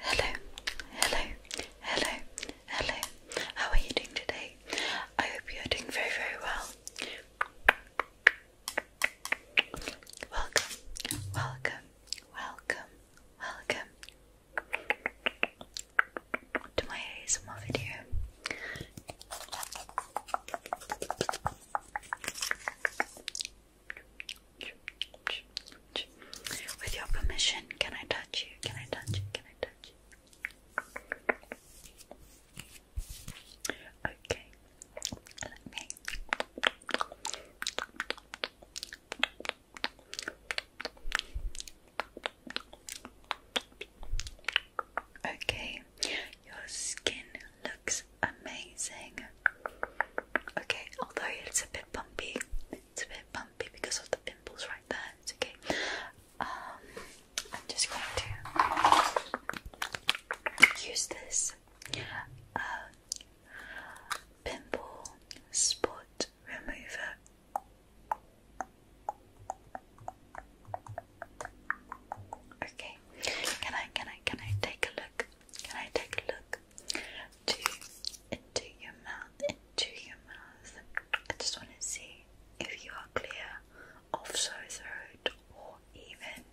Hello, hello, hello, hello. How are you doing today? I hope you are doing very, very well. Welcome, welcome, welcome, welcome to my ASMR video. With your permission, can I touch you? Can I touch you? Can I touch you? Okay. Let me. Okay, your skin looks amazing. Okay, although it's a bit bumpy, it's a bit bumpy because of the pimples right there. It's okay. Um, I'm just going to use this um, pimple spot remover. Okay, can I can I can I take a look? Can I take a look? into your mouth, into your mouth. I just want to see if you are clear of sore throat or even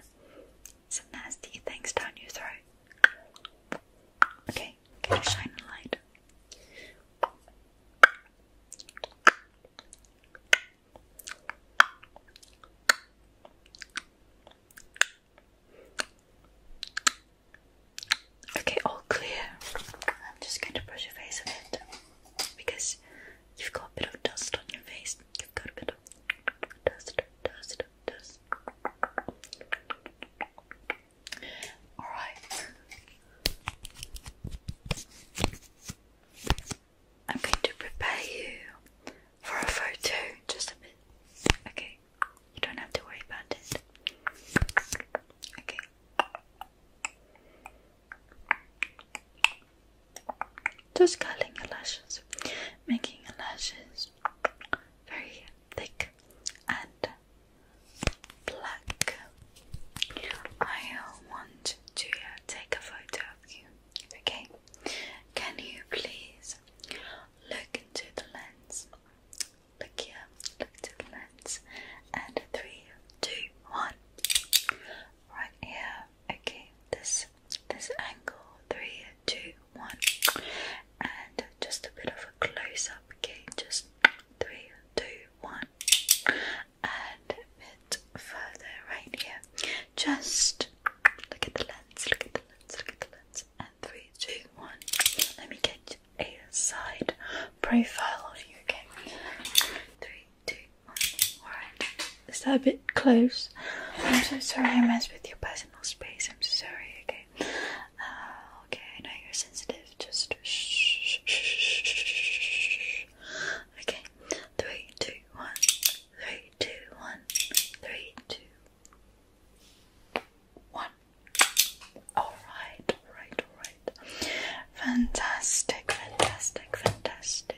some nasty things down your throat. Okay, can you shine a light? Okay, all clear. I'm just going to brush your face a bit because you've got a bit of dust on your face. You've got a bit of dust, dust, dust. Alright. I'm going to prepare you for a photo just a bit. Okay. You don't have to worry about it. Okay. Just curling your lashes, making your lashes very thick and black. I want to take a photo of you. Okay, can you please Look into the lens. Look here. Look into the lens. And three, two, one. Right here. Okay. This this angle. Three, two, one. And just a bit of a close up. Okay. Just three, two, one. And a bit further right here. Just look at the lens, look at the lens, look at the lens. And three, two, one. Let me get a side profile of you, okay? Three, two, one. Alright. Is that a bit close? I'm so sorry I messed with your personal space. I'm so sorry, okay? Uh, okay, I know you're sensitive. Just shh, shh, shh, shh. Okay. Three, two, one. Three, two, one. Three, two, one. All right, all right, all right. Fantastic, fantastic, fantastic.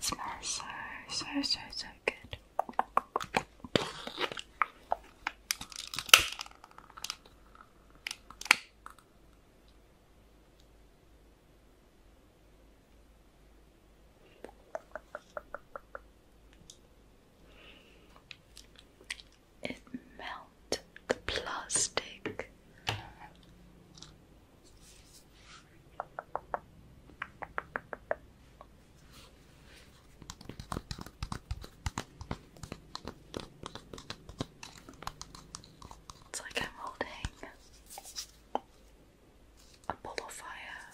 smells so, so, so, so good it melt the plastic. It's like I'm holding a ball of fire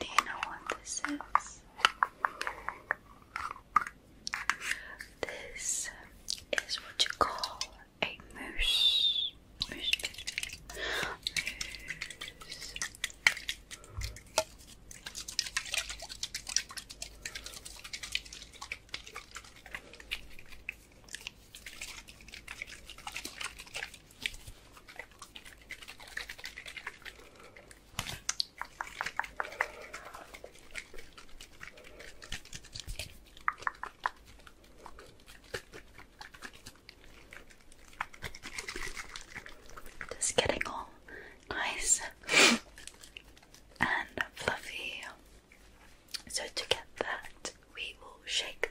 Do you know what this is? This is what you call a mousse. Just getting all nice and fluffy so to get that, we will shake.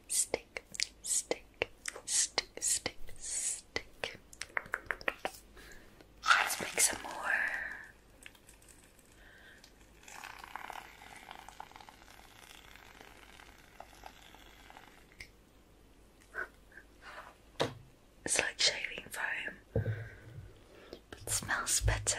Stick, stick, stick, stick, stick. Let's make some more. It's like shaving foam, but it smells better.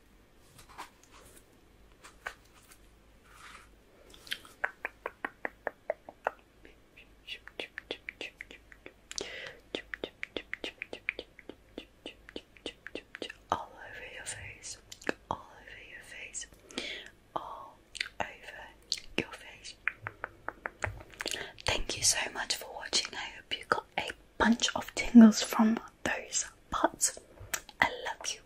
All over your face, all over your face, all over your face. Thank you so much for watching. I hope you got a bunch of tingles from on those pots. I love you.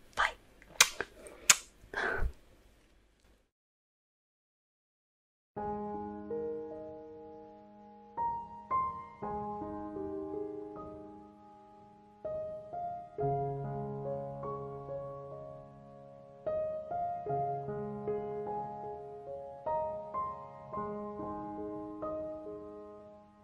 Bye.